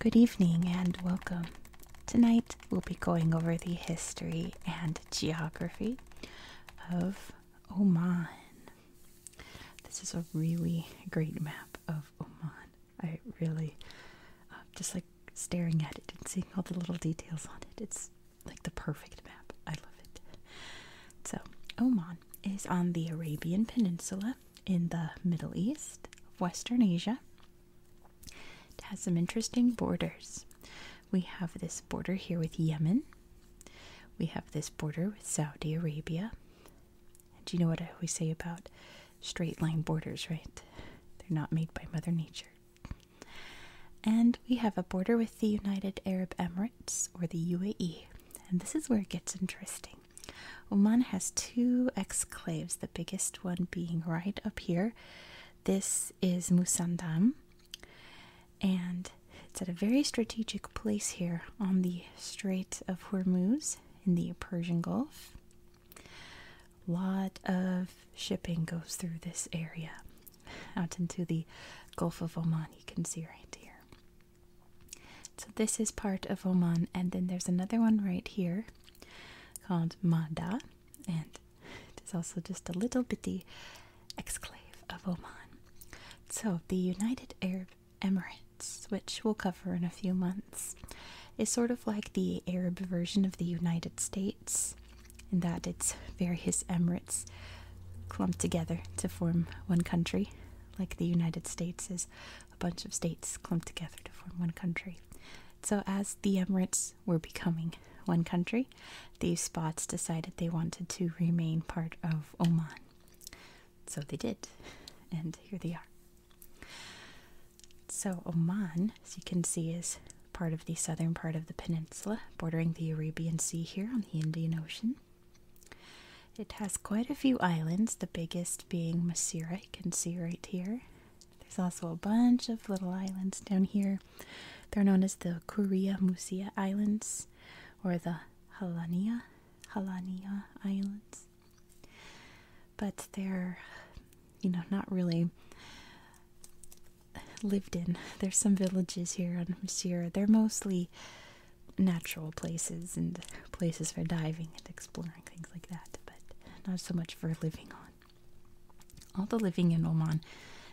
Good evening and welcome. Tonight we'll be going over the history and geography of Oman. This is a really great map of Oman. I really uh, just like staring at it and seeing all the little details on it. It's like the perfect map. I love it. So, Oman is on the Arabian Peninsula in the Middle East Western Asia. It has some interesting borders. We have this border here with Yemen. We have this border with Saudi Arabia. Do you know what I always say about straight line borders, right? They're not made by Mother Nature. And we have a border with the United Arab Emirates or the UAE. And this is where it gets interesting. Oman has two exclaves, the biggest one being right up here. This is Musandam, and it's at a very strategic place here on the Strait of Hormuz in the Persian Gulf. A lot of shipping goes through this area out into the Gulf of Oman. You can see right here. So this is part of Oman, and then there's another one right here called Mada, and it is also just a little bitty exclave of Oman. So the United Arab Emirates, which we'll cover in a few months, is sort of like the Arab version of the United States states, in that its various emirates clumped together to form one country, like the United States is a bunch of states clumped together to form one country. So, as the Emirates were becoming one country, these spots decided they wanted to remain part of Oman. So they did, and here they are. So, Oman, as you can see, is part of the southern part of the peninsula, bordering the Arabian Sea here on the Indian Ocean. It has quite a few islands, the biggest being Masira, you can see right here. There's also a bunch of little islands down here. They're known as the Kuria Musia Islands or the Halania, Halania Islands. But they're, you know, not really lived in. There's some villages here on Monsieur. They're mostly natural places and places for diving and exploring, things like that, but not so much for living on. All the living in Oman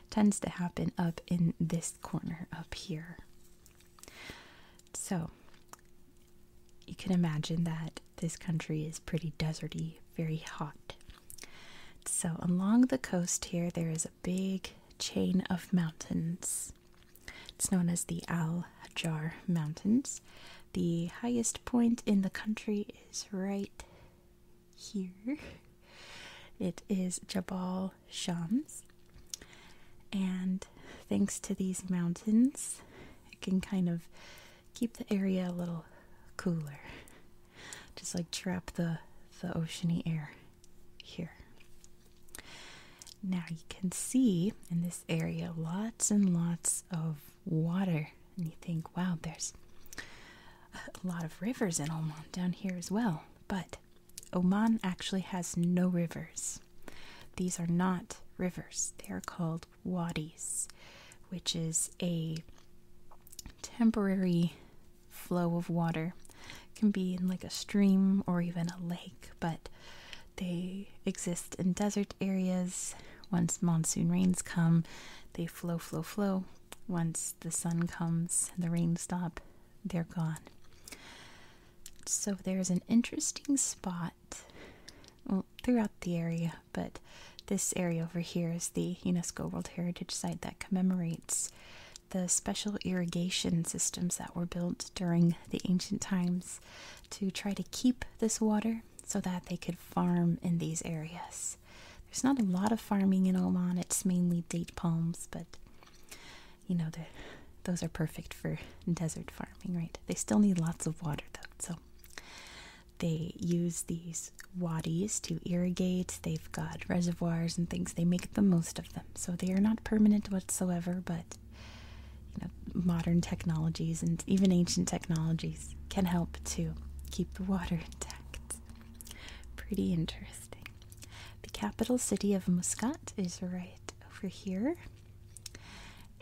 tends to happen up in this corner up here. So, you can imagine that this country is pretty deserty, very hot, so, along the coast here, there is a big chain of mountains. It's known as the Al Hajar Mountains. The highest point in the country is right here. It is Jabal Shams. And thanks to these mountains, it can kind of keep the area a little cooler just like trap the the oceany air here. Now you can see in this area lots and lots of water, and you think, wow, there's a lot of rivers in Oman down here as well. But Oman actually has no rivers. These are not rivers, they are called wadis, which is a temporary flow of water can be in like a stream or even a lake but they exist in desert areas once monsoon rains come they flow flow flow once the sun comes and the rains stop they're gone so there's an interesting spot throughout the area but this area over here is the unesco world heritage site that commemorates the special irrigation systems that were built during the ancient times to try to keep this water so that they could farm in these areas. There's not a lot of farming in Oman, it's mainly date palms, but you know, those are perfect for desert farming, right? They still need lots of water though, so they use these wadis to irrigate. They've got reservoirs and things. They make the most of them. So they are not permanent whatsoever, but you know, modern technologies and even ancient technologies can help to keep the water intact. Pretty interesting. The capital city of Muscat is right over here.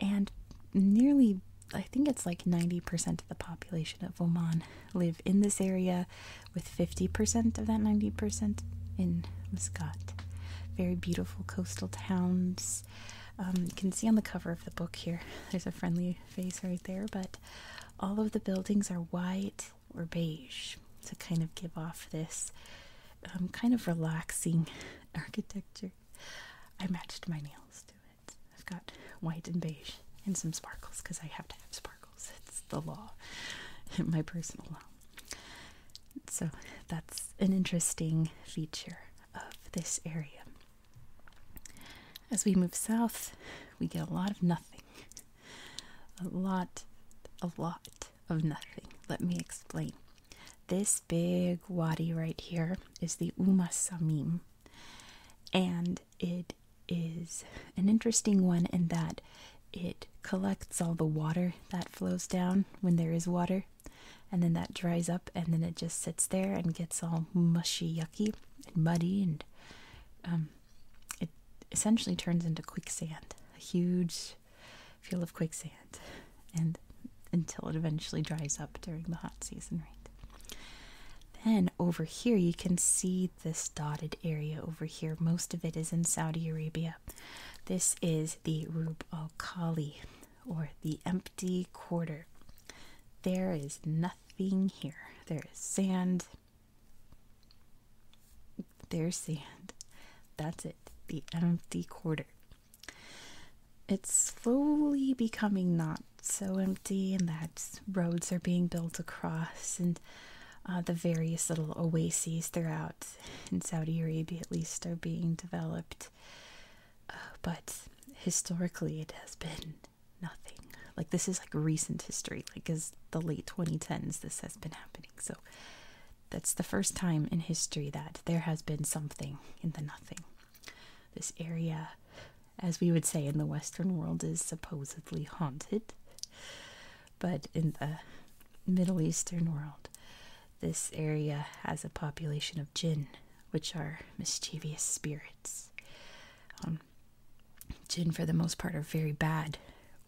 And nearly, I think it's like 90% of the population of Oman live in this area with 50% of that 90% in Muscat. Very beautiful coastal towns. Um, you can see on the cover of the book here, there's a friendly face right there, but all of the buildings are white or beige to kind of give off this um, kind of relaxing architecture. I matched my nails to it. I've got white and beige and some sparkles because I have to have sparkles. It's the law, my personal law. So that's an interesting feature of this area. As we move south, we get a lot of nothing. A lot, a lot of nothing. Let me explain. This big wadi right here is the Umm Samim. And it is an interesting one in that it collects all the water that flows down when there is water, and then that dries up, and then it just sits there and gets all mushy, yucky, and muddy, and um, it essentially turns into quicksand a huge field of quicksand, and until it eventually dries up during the hot season, right? Then over here, you can see this dotted area over here. Most of it is in Saudi Arabia. This is the Rub al Khali or the empty quarter. There is nothing here. There is sand. There's sand. That's it. The empty quarter. It's slowly becoming not so empty, and that roads are being built across, and uh, the various little oases throughout in Saudi Arabia, at least, are being developed. Uh, but historically, it has been nothing. Like this is like recent history, like as the late 2010s, this has been happening. So that's the first time in history that there has been something in the nothing. This area, as we would say in the Western world, is supposedly haunted but in the Middle Eastern world, this area has a population of jinn, which are mischievous spirits. Um, jinn, for the most part, are very bad,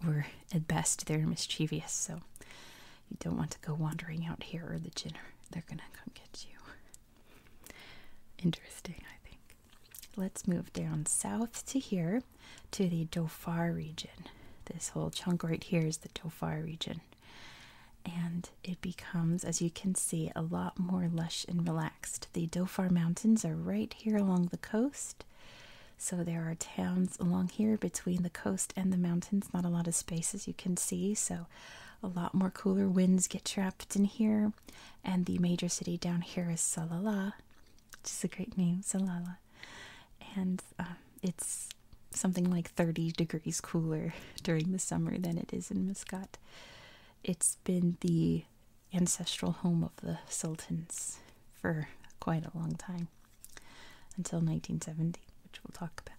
or at best, they're mischievous. So you don't want to go wandering out here, or the jinn they're gonna come get you. Interesting, I think. Let's move down south to here to the Dhofar region. This whole chunk right here is the Dhofar region. And it becomes, as you can see, a lot more lush and relaxed. The Dhofar Mountains are right here along the coast. So there are towns along here between the coast and the mountains. Not a lot of space, as you can see. So a lot more cooler winds get trapped in here and the major city down here is Salalah, which is a great name, Salalah, and um, it's something like 30 degrees cooler during the summer than it is in Muscat. It's been the ancestral home of the sultans for quite a long time, until 1970, which we'll talk about.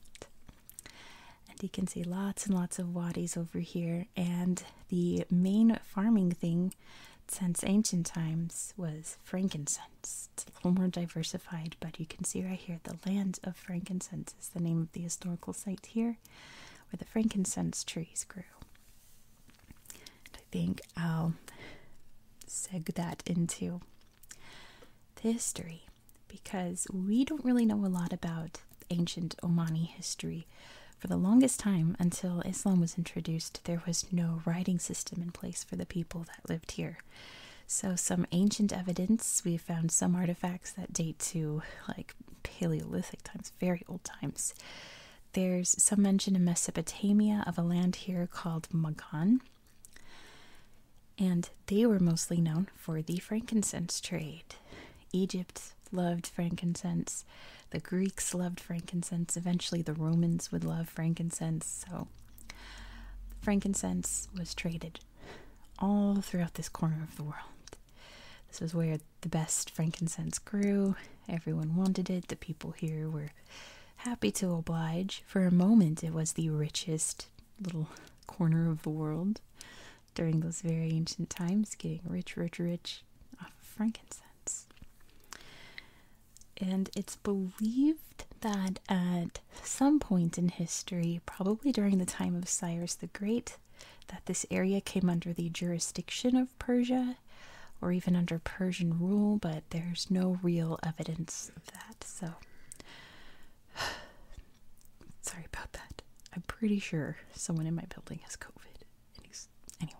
And you can see lots and lots of wadis over here, and the main farming thing since ancient times was frankincense. It's a little more diversified, but you can see right here the land of frankincense is the name of the historical site here where the frankincense trees grew. I think I'll seg that into the history because we don't really know a lot about ancient Omani history. For the longest time, until Islam was introduced, there was no writing system in place for the people that lived here. So, some ancient evidence, we found some artifacts that date to like Paleolithic times, very old times. There's some mention in Mesopotamia of a land here called Magan, and they were mostly known for the frankincense trade. Egypt loved frankincense. The Greeks loved frankincense. Eventually, the Romans would love frankincense. So, frankincense was traded all throughout this corner of the world. This was where the best frankincense grew. Everyone wanted it. The people here were happy to oblige. For a moment, it was the richest little corner of the world during those very ancient times, getting rich, rich, rich of frankincense. And it's believed that at some point in history, probably during the time of Cyrus the Great, that this area came under the jurisdiction of Persia or even under Persian rule, but there's no real evidence of that. So, sorry about that. I'm pretty sure someone in my building has COVID anyway.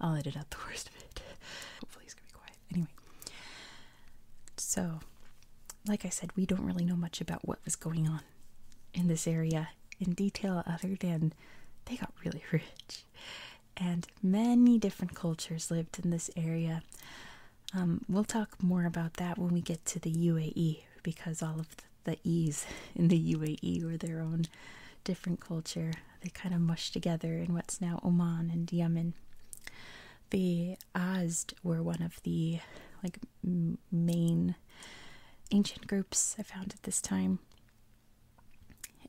I'll edit out the worst of it. Hopefully he's gonna be quiet. Anyway. So like I said, we don't really know much about what was going on in this area in detail other than they got really rich. And many different cultures lived in this area. Um, we'll talk more about that when we get to the UAE because all of the E's in the UAE were their own different culture. They kind of mushed together in what's now Oman and Yemen. The Azd were one of the like main ancient groups I found at this time,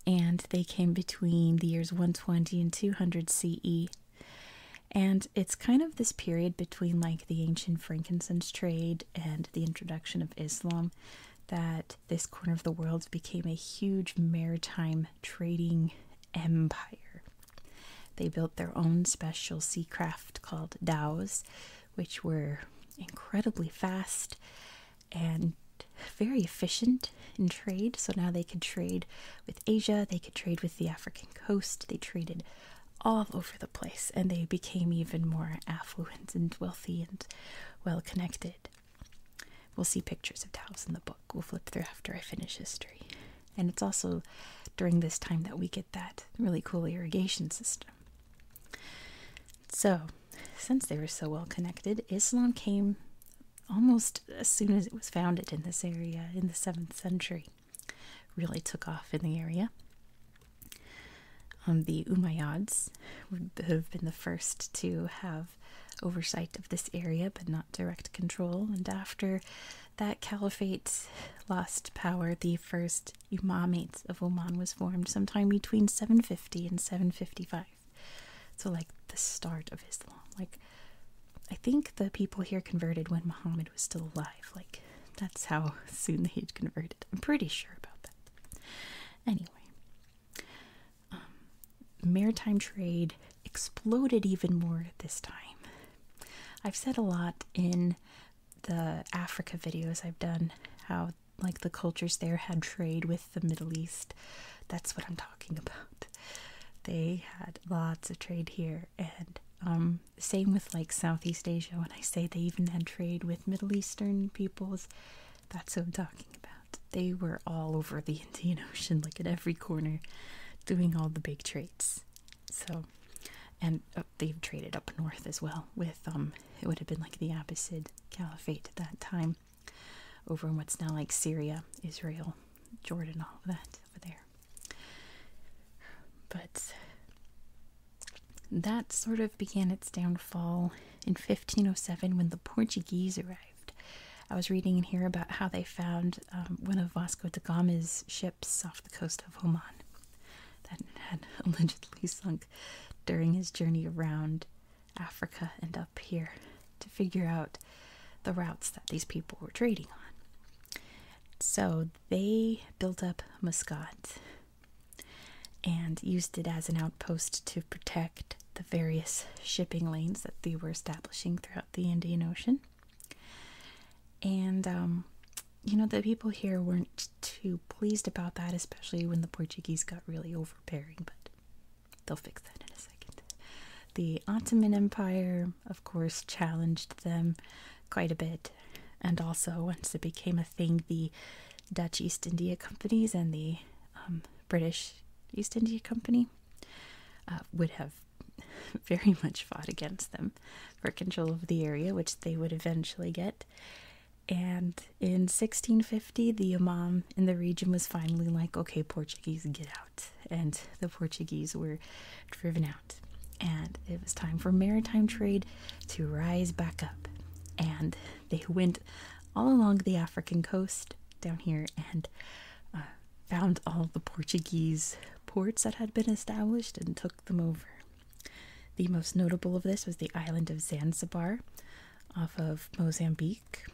and they came between the years 120 and 200 CE. And it's kind of this period between like the ancient frankincense trade and the introduction of Islam that this corner of the world became a huge maritime trading empire. They built their own special sea craft called dows, which were incredibly fast and very efficient in trade. So now they could trade with Asia, they could trade with the African coast, they traded all over the place, and they became even more affluent and wealthy and well connected. We'll see pictures of Taos in the book. We'll flip through after I finish history. And it's also during this time that we get that really cool irrigation system. So, since they were so well connected, Islam came almost as soon as it was founded in this area in the 7th century. Really took off in the area. Um, the Umayyads would have been the first to have oversight of this area, but not direct control. And after that caliphate lost power, the first Imamate of Oman was formed sometime between 750 and 755. So, like the start of Islam. Like, I think the people here converted when Muhammad was still alive. Like, that's how soon they had converted. I'm pretty sure about that. Anyway, um, maritime trade exploded even more at this time. I've said a lot in the Africa videos I've done how like the cultures there had trade with the Middle East. That's what I'm talking about. They had lots of trade here and um, same with like Southeast Asia when I say they even had trade with Middle Eastern peoples that's what I'm talking about. They were all over the Indian Ocean, like at every corner, doing all the big trades. So, and uh, they've traded up north as well with, um, it would have been like the Abbasid Caliphate at that time, over in what's now like Syria, Israel, Jordan, all of that over there. But that sort of began its downfall in 1507 when the Portuguese arrived. I was reading in here about how they found um, one of Vasco da Gama's ships off the coast of Oman that had allegedly sunk during his journey around Africa and up here to figure out the routes that these people were trading on. So they built up Mascot and used it as an outpost to protect the various shipping lanes that they were establishing throughout the Indian Ocean. And, um, you know, the people here weren't too pleased about that, especially when the Portuguese got really overbearing, but they'll fix that in a second. The Ottoman Empire, of course, challenged them quite a bit. And also, once it became a thing, the Dutch East India Companies and the um, British East India Company uh, would have very much fought against them for control of the area, which they would eventually get. And in 1650, the Imam in the region was finally like, okay, Portuguese, get out. And the Portuguese were driven out. And it was time for maritime trade to rise back up. And they went all along the African coast down here and uh, found all the Portuguese ports that had been established and took them over. The most notable of this was the island of Zanzibar off of Mozambique.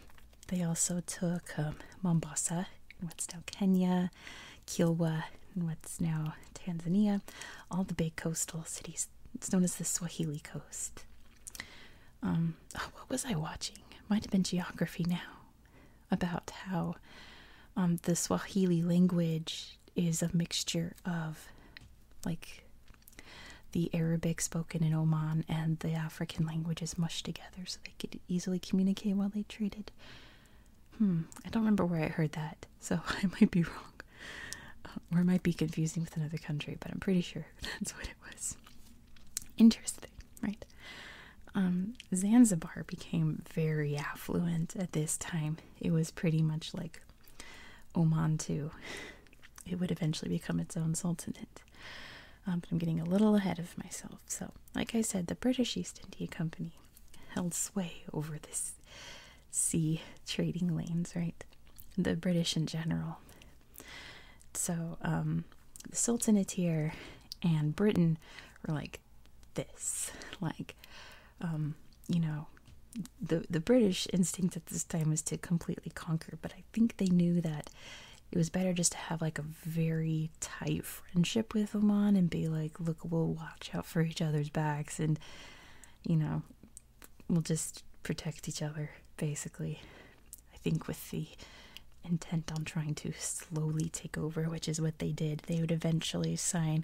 They also took um, Mombasa, in what's now Kenya, Kilwa, and what's now Tanzania, all the big coastal cities. It's known as the Swahili coast um, oh, what was I watching? might have been Geography Now, about how um, the Swahili language is a mixture of like the Arabic spoken in Oman and the African languages mushed together so they could easily communicate while they traded. Hmm, I don't remember where I heard that, so I might be wrong. Uh, or it might be confusing with another country, but I'm pretty sure that's what it was interesting, right? Um, Zanzibar became very affluent at this time. It was pretty much like Oman, too. It would eventually become its own sultanate. Um, but I'm getting a little ahead of myself. So, like I said, the British East India Company held sway over this sea trading lanes, right? The British in general so um, the Sultanate here and Britain were like this, like um, you know, the the British instinct at this time was to completely conquer, but I think they knew that it was better just to have like a very tight friendship with Oman and be like, look, we'll watch out for each other's backs and you know we'll just protect each other, basically. I think with the intent on trying to slowly take over, which is what they did, they would eventually sign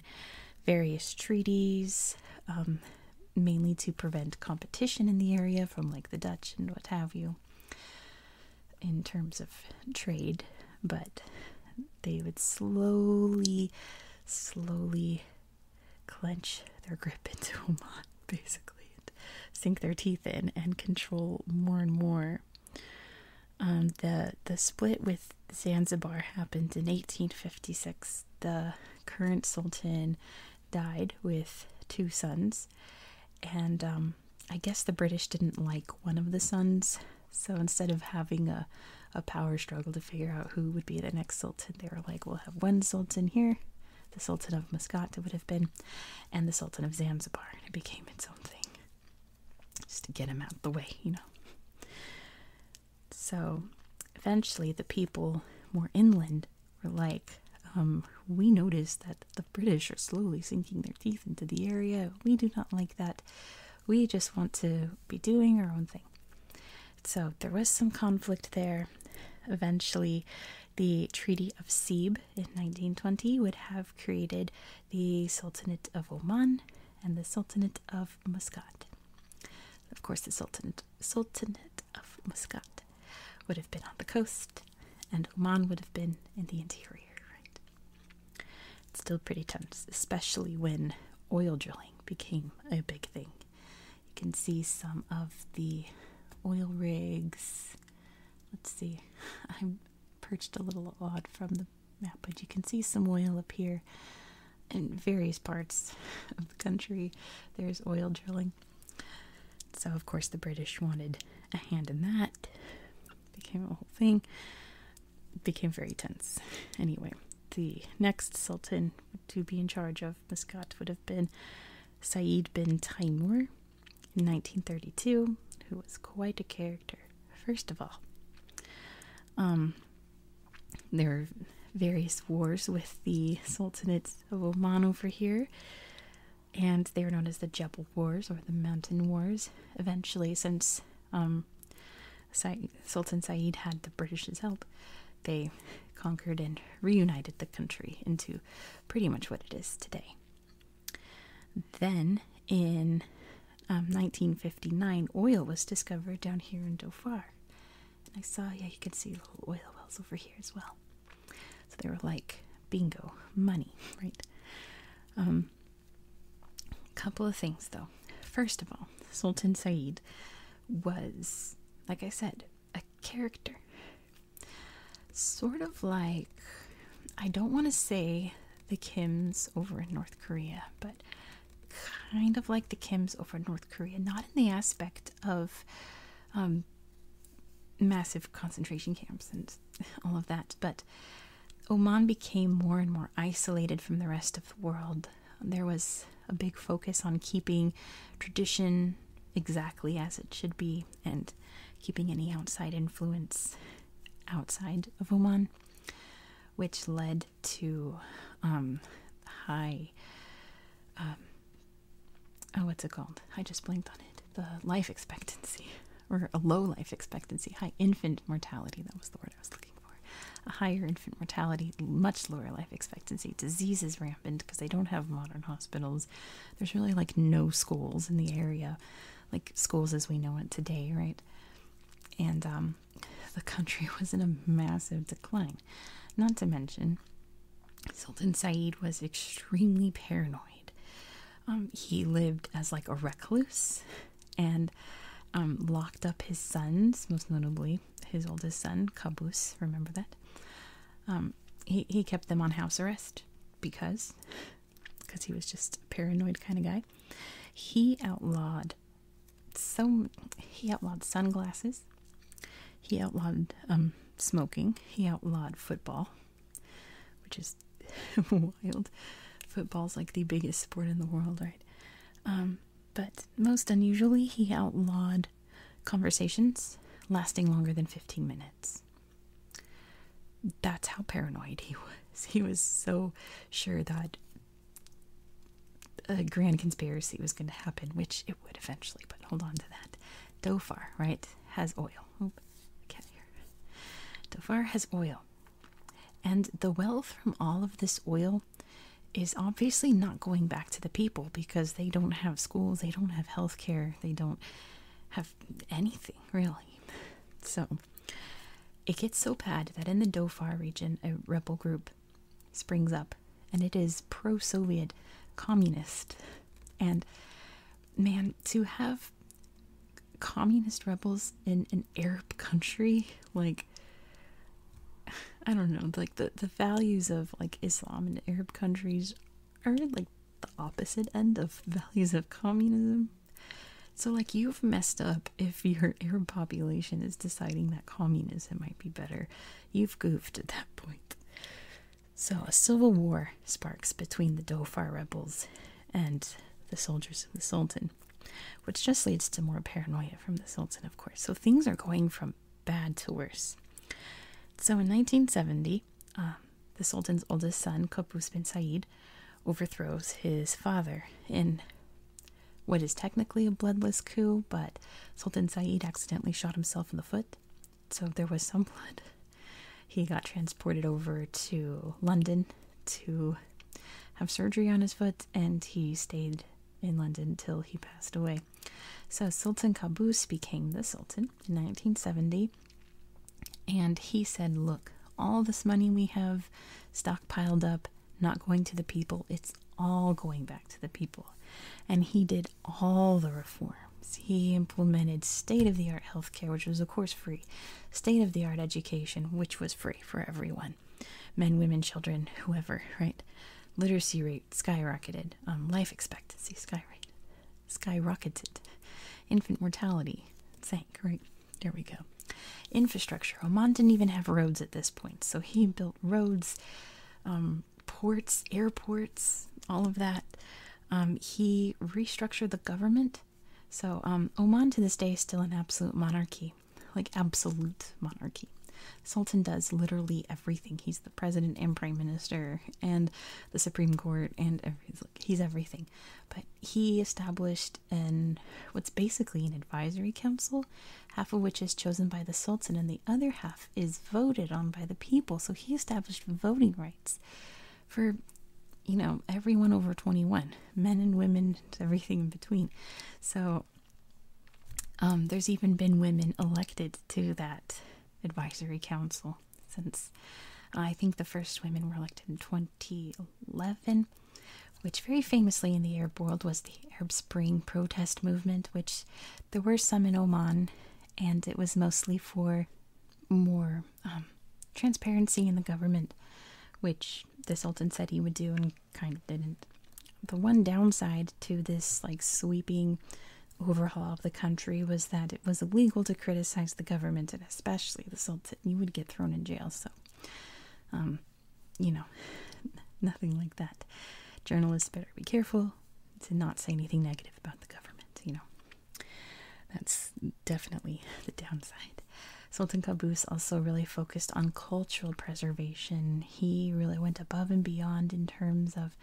various treaties, um, mainly to prevent competition in the area from like the Dutch and what have you in terms of trade, but they would slowly, slowly clench their grip into a mon, basically, and sink their teeth in and control more and more. Um, the the split with Zanzibar happened in 1856. The current sultan died with two sons, and um, I guess the British didn't like one of the sons. So instead of having a, a power struggle to figure out who would be the next sultan, they were like, we'll have one sultan here the Sultan of Muscat would have been, and the Sultan of Zanzibar, and it became its own thing. Just to get him out the way, you know. So eventually the people more inland were like, um, we notice that the British are slowly sinking their teeth into the area. We do not like that. We just want to be doing our own thing. So there was some conflict there. Eventually, the Treaty of Sebe in 1920 would have created the Sultanate of Oman and the Sultanate of Muscat. Of course, the Sultanate, Sultanate of Muscat would have been on the coast, and Oman would have been in the interior. Right? It's still pretty tense, especially when oil drilling became a big thing you can see some of the oil rigs. Let's see, I'm perched a little odd from the map, but you can see some oil up here in various parts of the country. There's oil drilling. So, of course, the British wanted a hand in that. Became a whole thing. Became very tense. Anyway, the next Sultan to be in charge of. Mascot would have been Said bin Taimur in 1932, who was quite a character, first of all. Um, there were various wars with the Sultanates of Oman over here, and they were known as the Jebel Wars or the Mountain Wars. Eventually, since um, Sultan Said had the British's help, they conquered and reunited the country into pretty much what it is today. Then in 1959, um, oil was discovered down here in Dofar, And I saw, yeah, you can see little oil wells over here as well. So they were like, bingo, money, right? A um, couple of things though. First of all, Sultan Said was, like I said, a character. Sort of like, I don't want to say the Kims over in North Korea, but kind of like the Kims over in North Korea, not in the aspect of um, massive concentration camps and all of that, but Oman became more and more isolated from the rest of the world. There was a big focus on keeping tradition exactly as it should be and keeping any outside influence outside of Oman, which led to um, high. Um, oh, what's it called? I just blinked on it. The life expectancy, or a low life expectancy, high infant mortality. That was the word I was looking for. A higher infant mortality, much lower life expectancy. diseases rampant because they don't have modern hospitals there's really like no schools in the area, like schools as we know it today, right? And um, the country was in a massive decline. Not to mention, Sultan Said was extremely paranoid. Um, he lived as like a recluse and um, locked up his sons, most notably his oldest son, Kabus, remember that? Um, he he kept them on house arrest because because he was just a paranoid kind of guy. He outlawed so he outlawed sunglasses. He outlawed um, smoking. He outlawed football, which is wild. Football's like the biggest sport in the world, right? Um, but most unusually, he outlawed conversations lasting longer than 15 minutes. That's how paranoid he was. He was so sure that a grand conspiracy was going to happen, which it would eventually, but hold on to that. Dofar, right, has oil. Oop, can't Dofar has oil. And the wealth from all of this oil is obviously not going back to the people because they don't have schools, they don't have health care, they don't have anything really. So it gets so bad that in the Dhofar region, a rebel group springs up and it is pro Soviet communist. And man, to have communist rebels in an Arab country, like I don't know, like the, the values of like Islam and Arab countries are like the opposite end of values of communism. So, like, you've messed up if your Arab population is deciding that communism might be better. You've goofed at that point. So, a civil war sparks between the Dhofar rebels and the soldiers of the Sultan, which just leads to more paranoia from the Sultan, of course. So, things are going from bad to worse. So in 1970, um, the Sultan's oldest son, Qaboos bin Said, overthrows his father in what is technically a bloodless coup, but Sultan Said accidentally shot himself in the foot, so there was some blood. He got transported over to London to have surgery on his foot, and he stayed in London till he passed away so Sultan Qaboos became the Sultan in 1970, and he said, Look, all this money we have stockpiled up, not going to the people, it's all going back to the people. And he did all the reforms. He implemented state of the art healthcare, which was, of course, free, state of the art education, which was free for everyone men, women, children, whoever, right? Literacy rate skyrocketed, um, life expectancy skyrocketed skyrocketed. Infant mortality sank, right? There we go. Infrastructure. Oman didn't even have roads at this point, so he built roads, um, ports, airports, all of that. Um, he restructured the government. So um, Oman to this day is still an absolute monarchy, like absolute monarchy. Sultan does literally everything. He's the president and prime minister and the Supreme Court and every, he's everything. But he established an what's basically an advisory council, half of which is chosen by the Sultan and the other half is voted on by the people. So he established voting rights for you know everyone over 21 men and women everything in between so um, there's even been women elected to that advisory council since I think the first women were elected in 2011, which very famously in the Arab world was the Arab Spring protest movement, which there were some in Oman, and it was mostly for more um, transparency in the government, which the Sultan said he would do and kind of didn't. The one downside to this like sweeping overhaul of the country was that it was illegal to criticize the government and especially the Sultan. You would get thrown in jail. So, um, you know, nothing like that. Journalists better be careful to not say anything negative about the government, you know. That's definitely the downside. Sultan Qaboos also really focused on cultural preservation. He really went above and beyond in terms of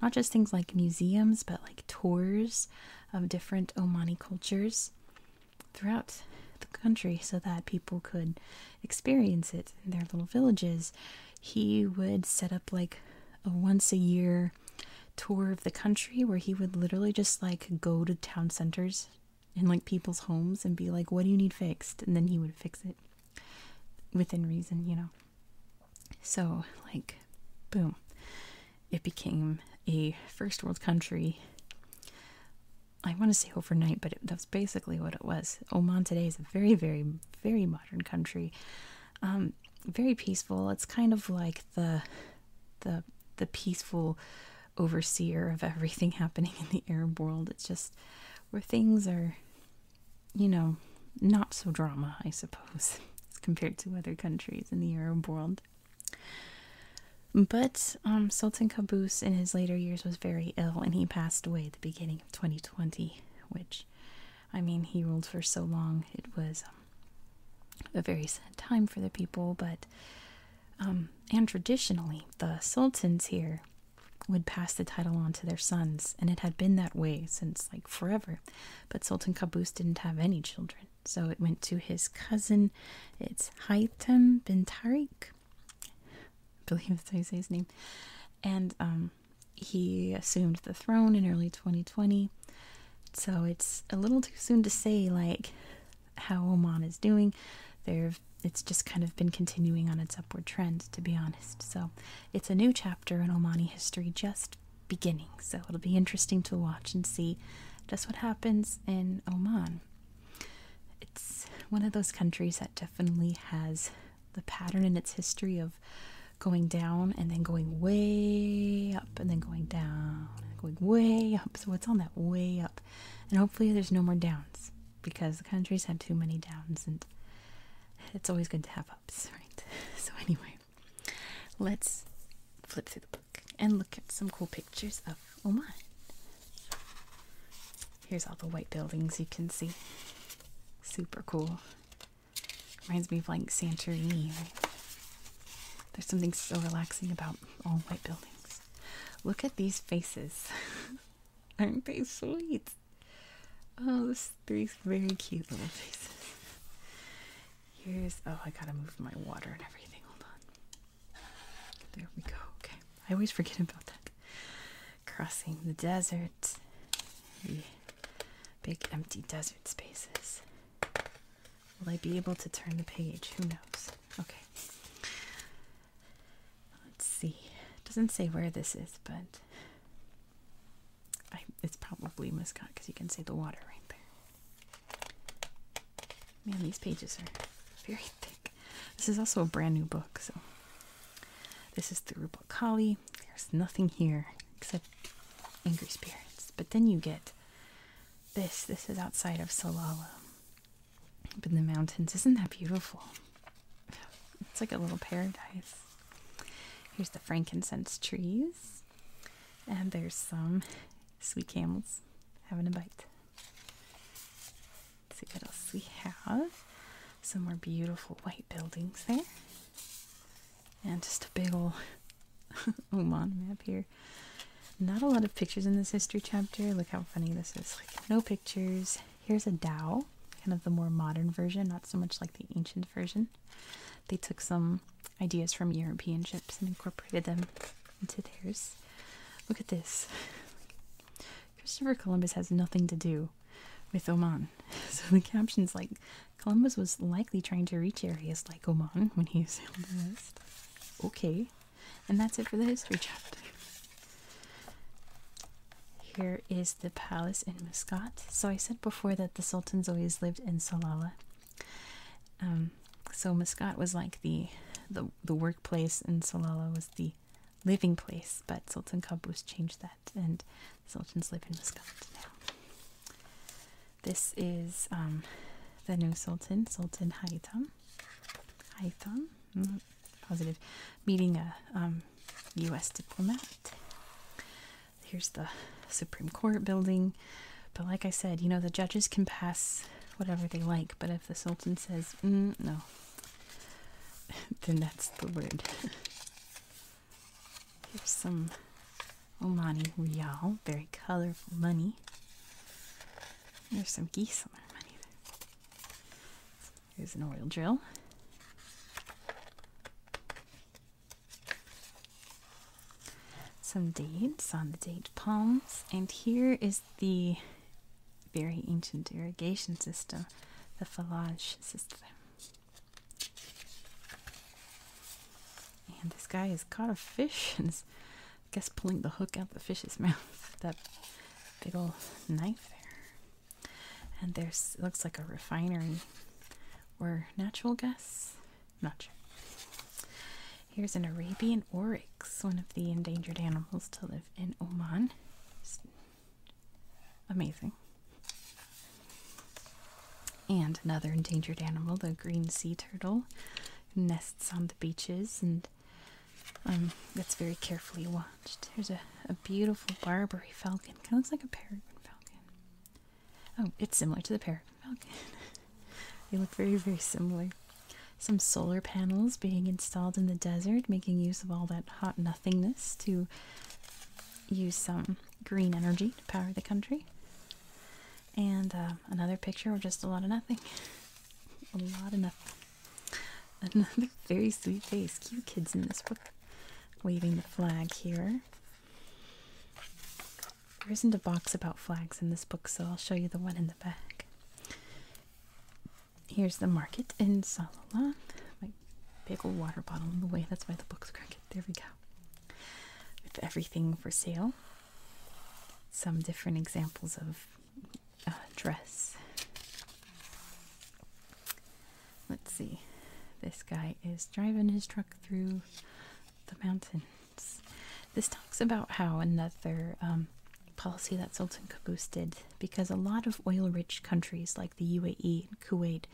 not just things like museums, but like tours of different Omani cultures throughout the country so that people could experience it in their little villages. He would set up like a once a year tour of the country where he would literally just like go to town centers and like people's homes and be like, What do you need fixed? And then he would fix it within reason, you know. So, like, boom, it became a first world country. I want to say overnight, but that's basically what it was. Oman today is a very, very, very modern country. Um, very peaceful. It's kind of like the the the peaceful overseer of everything happening in the Arab world. It's just where things are you know, not so drama, I suppose, as compared to other countries in the Arab world. But um, Sultan Qaboos in his later years was very ill and he passed away the beginning of 2020, which, I mean, he ruled for so long. It was um, a very sad time for the people, but, um, and traditionally, the sultans here would pass the title on to their sons, and it had been that way since like forever. But Sultan Qaboos didn't have any children, so it went to his cousin. It's Haytham bin Tariq. I believe that's how you say his name. And um, he assumed the throne in early 2020. So it's a little too soon to say, like, how Oman is doing. There, it's just kind of been continuing on its upward trend, to be honest. So it's a new chapter in Omani history just beginning. So it'll be interesting to watch and see just what happens in Oman. It's one of those countries that definitely has the pattern in its history of going down and then going way up and then going down going way up. So it's on that way up. And hopefully there's no more downs because the countries have too many downs and it's always good to have ups, right? So anyway, Let's flip through the book and look at some cool pictures of Oman. Here's all the white buildings you can see. Super cool. Reminds me of like Santorini, There's something so relaxing about all white buildings. Look at these faces. Aren't they sweet? Oh, those three very cute little faces. Here's oh, I gotta move my water and everything. Hold on. There we go. Okay, I always forget about that. Crossing the desert, big empty desert spaces. Will I be able to turn the page? Who knows? Okay. Let's see. doesn't say where this is, but it's probably miscut because you can see the water right there. Man, these pages are very thick. This is also a brand new book, so this is the Rubakali. There's nothing here except angry spirits. But then you get this. This is outside of Salala, up in the mountains. Isn't that beautiful? It's like a little paradise. Here's the frankincense trees. And there's some sweet camels having a bite. see what else we have. Some more beautiful white buildings there. And just a big old Oman map here. Not a lot of pictures in this history chapter. Look how funny this is. Like, no pictures. Here's a dhow, kind of the more modern version, not so much like the ancient version. They took some ideas from European ships and incorporated them into theirs. Look at this. Christopher Columbus has nothing to do with Oman. So the caption's like, Columbus was likely trying to reach areas like Oman when he sailed the west. Okay. And that's it for the history chapter. Here is the palace in Muscat. So I said before that the sultans always lived in Salalah. Um, so Muscat was like the, the workplace, and Salalah was the living place. But Sultan Qaboos changed that, and the sultans live in Muscat now. This is um, the new sultan, Sultan Haitham. Haitham, positive, meeting a U.S. Um, diplomat. Here's the Supreme Court building. But like I said, you know, the judges can pass whatever they like, but if the Sultan says, mm, no, then that's the word. Here's some Omani Rial, very colorful money. There's some geese on their money. There's an oil drill. Some dates on the date palms, and here is the very ancient irrigation system, the Falage system. And this guy has caught a fish and I guess, pulling the hook out the fish's mouth. that big old knife there. And there's, looks like a refinery or natural gas. Not sure. Here's an Arabian oryx, one of the endangered animals to live in Oman. amazing. And another endangered animal, the green sea turtle, nests on the beaches and um, that's very carefully watched. There's a, a beautiful Barbary falcon. Kind of looks like a peregrine falcon. Oh, it's similar to the parrot falcon. they look very, very similar. Some solar panels being installed in the desert, making use of all that hot nothingness to use some green energy to power the country. And uh, another picture with just a lot of nothing. a lot of nothing. Another very sweet face. Cute kids in this book. Waving the flag here. There isn't a box about flags in this book, so I'll show you the one in the back. Here's the market in Salalah. My big old water bottle in the way, that's why the book's crooked. There we go. With everything for sale. Some different examples of uh, dress. Let's see. This guy is driving his truck through the mountains. This talks about how another um, policy that Sultan Qaboos did, because a lot of oil rich countries like the UAE and Kuwait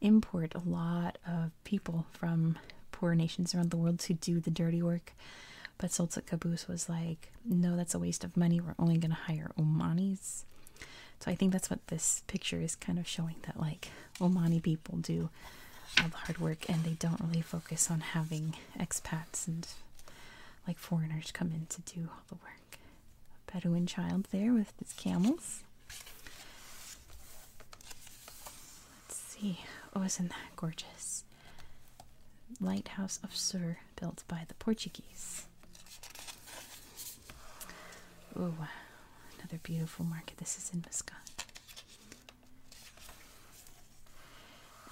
import a lot of people from poor nations around the world to do the dirty work. But Sultan Qaboos was like, no, that's a waste of money. We're only going to hire Omanis. So I think that's what this picture is kind of showing that like Omani people do all the hard work and they don't really focus on having expats and like foreigners come in to do all the work. A Bedouin child there with his camels. Let's see. Oh, isn't that gorgeous? Lighthouse of Sur built by the Portuguese. Oh wow, another beautiful market. This is in Muscat.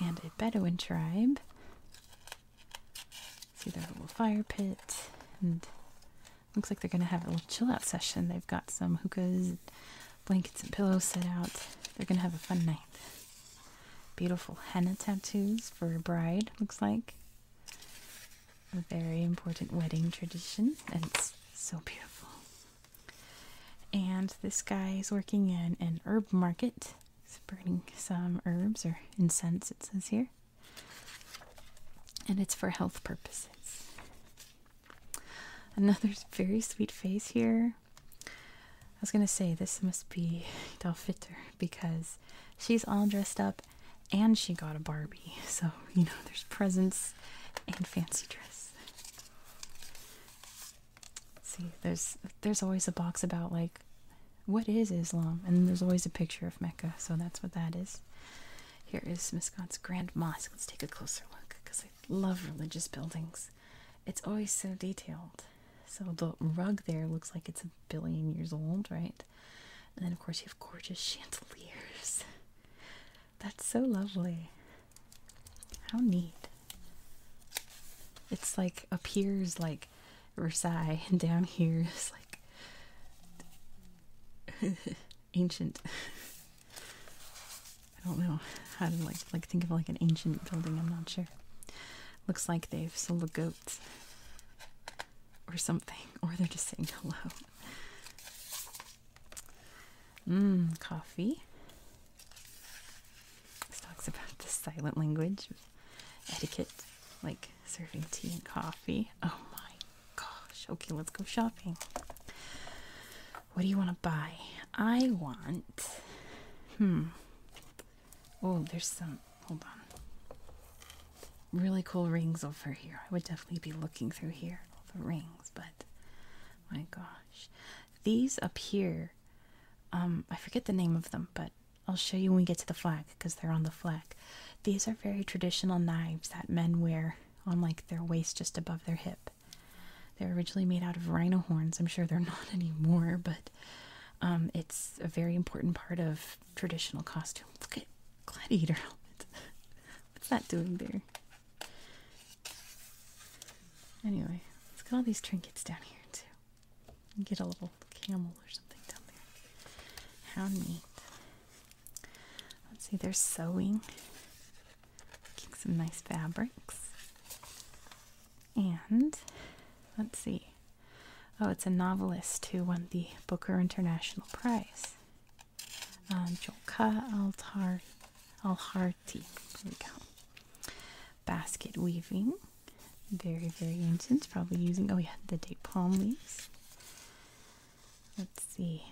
And a Bedouin tribe. See their little fire pit. And looks like they're going to have a little chill out session. They've got some hookahs, blankets, and pillows set out. They're going to have a fun night. Beautiful henna tattoos for a bride, looks like a very important wedding tradition, and it's so beautiful. And this guy is working in an herb market. spreading some herbs or incense, it says here. And it's for health purposes. Another very sweet face here. I was gonna say this must be Dolphitter because she's all dressed up and she got a Barbie. So, you know, there's presents and fancy dress. See, there's there's always a box about like what is Islam? And there's always a picture of Mecca, so that's what that is. Here is Miscot's Grand Mosque. Let's take a closer look because I love religious buildings. It's always so detailed. So the rug there looks like it's a billion years old, right? And then, of course, you have gorgeous chandeliers. That's so lovely. How neat. It's like up here's like Versailles and down here is like ancient. I don't know how to like like think of like an ancient building, I'm not sure. Looks like they've sold the goats or something, or they're just saying hello. Mmm, coffee. This talks about the silent language etiquette, like serving tea and coffee. Oh my gosh. Okay, let's go shopping. What do you want to buy? I want. Hmm. Oh, there's some. Hold on really cool rings over here. I would definitely be looking through here, all the rings, but my gosh. These up here, um, I forget the name of them, but I'll show you when we get to the flag because they're on the flag. These are very traditional knives that men wear on like their waist just above their hip. They're originally made out of rhino horns. I'm sure they're not anymore, but um, it's a very important part of traditional costume. Look at Gladiator helmet. What's that doing there? Anyway, let's get all these trinkets down here too. get a little camel or something down there. How neat. Let's see, they're sewing. some nice fabrics. And let's see. Oh, it's a novelist who won the Booker International Prize. Joka Altar There we go. Basket weaving, very very ancient. Probably using oh yeah the date palm leaves. Let's see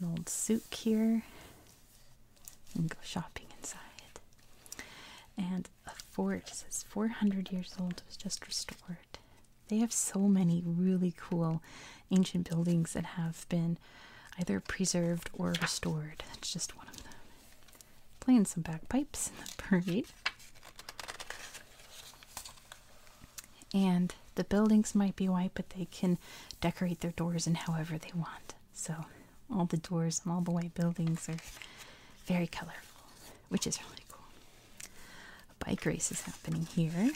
an old souk here. And go shopping inside. And a fort it says 400 years old. was just restored. They have so many really cool ancient buildings that have been either preserved or restored. It's just one of them. Playing some bagpipes in the parade. And the buildings might be white, but they can decorate their doors in however they want. So all the doors and all the white buildings are very colorful, which is really cool bike race is happening here.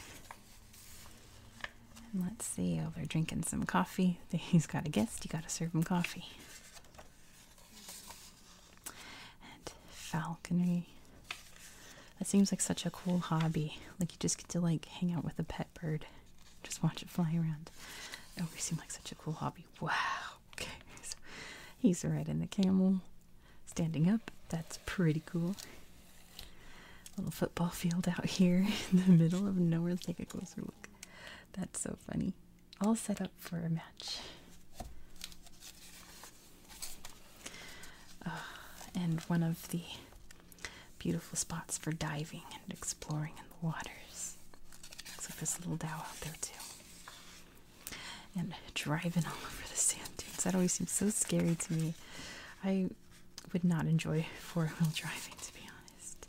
let's see, oh, they're drinking some coffee. He's got a guest, you gotta serve him coffee. And falconry. That seems like such a cool hobby. Like you just get to like hang out with a pet bird. Just watch it fly around. It always seemed like such a cool hobby. Wow. Okay. So he's riding the camel. Standing up. That's pretty cool. Little football field out here in the middle of nowhere. Take a closer look. That's so funny. All set up for a match. Ah, and one of the beautiful spots for diving and exploring in the waters. Looks like this little dhow out there too. And driving all over the sand dunes. That always seems so scary to me. I would not enjoy four wheel driving, to be honest.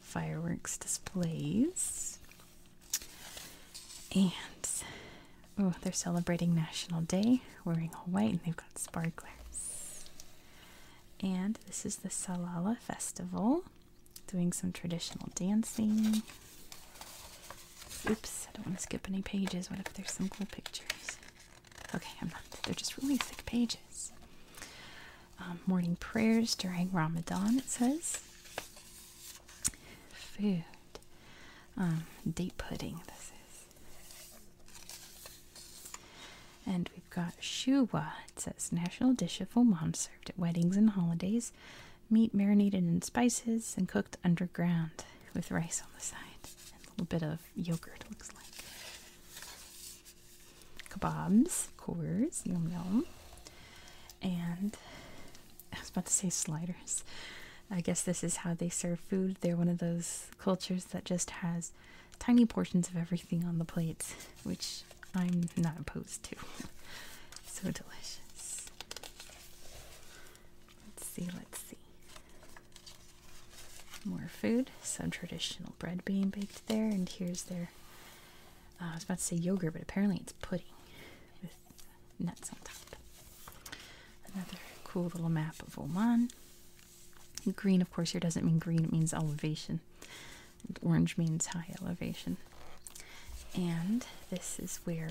Fireworks displays. And oh, they're celebrating National Day, wearing all white, and they've got sparklers. And this is the Salala Festival, doing some traditional dancing. Oops, I don't want to skip any pages. What if there's some cool pictures? Okay, I'm not. They're just really thick pages. Um, morning prayers during Ramadan, it says. Food. Um, date pudding, this is. And we've got shuwa. It says national dish of Oman served at weddings and holidays. Meat marinated in spices and cooked underground with rice on the side. And a little bit of yogurt looks like. Kebabs, of yum yum. And I was about to say sliders. I guess this is how they serve food. They're one of those cultures that just has tiny portions of everything on the plates, which I'm not opposed to. so delicious. Let's see, let's see. More food, some traditional bread being baked there, and here's their. Uh, I was about to say yogurt, but apparently it's pudding with nuts on top. Another cool little map of Oman. Green, of course, here doesn't mean green, it means elevation. orange means high elevation. And this is where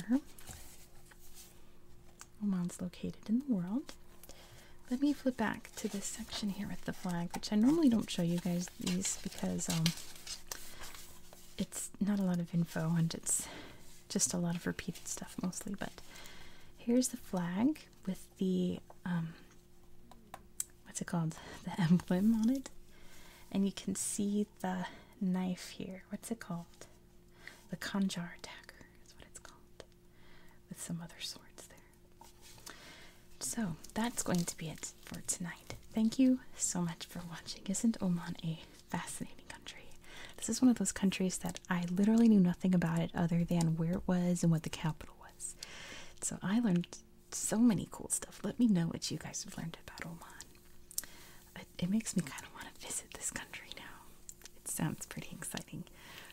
Oman's located in the world. Let me flip back to this section here with the flag, which I normally don't show you guys these because um, it's not a lot of info and it's just a lot of repeated stuff mostly. But here's the flag with the um, what's it called? The emblem on it, and you can see the knife here. What's it called? The Kanjar dagger is what it's called with some other swords there. So that's going to be it for tonight. Thank you so much for watching. Isn't Oman a fascinating country? This is one of those countries that I literally knew nothing about it other than where it was and what the capital was. So I learned so many cool stuff. Let me know what you guys have learned about Oman. It, it makes me kind of want to visit this country now. It sounds pretty exciting.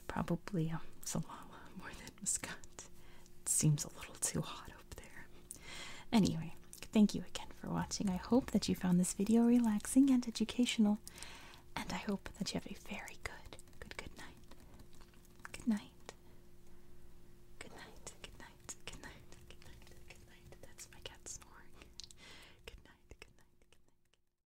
Probably um, Salawa more than Muscat. It seems a little too hot up there. Anyway, thank you again for watching. I hope that you found this video relaxing and educational. And I hope that you have a very good, good, good night. Good night. Good night. Good night. Good night. Good night. Good night. That's my cat snoring. Good night. Good night. Good night.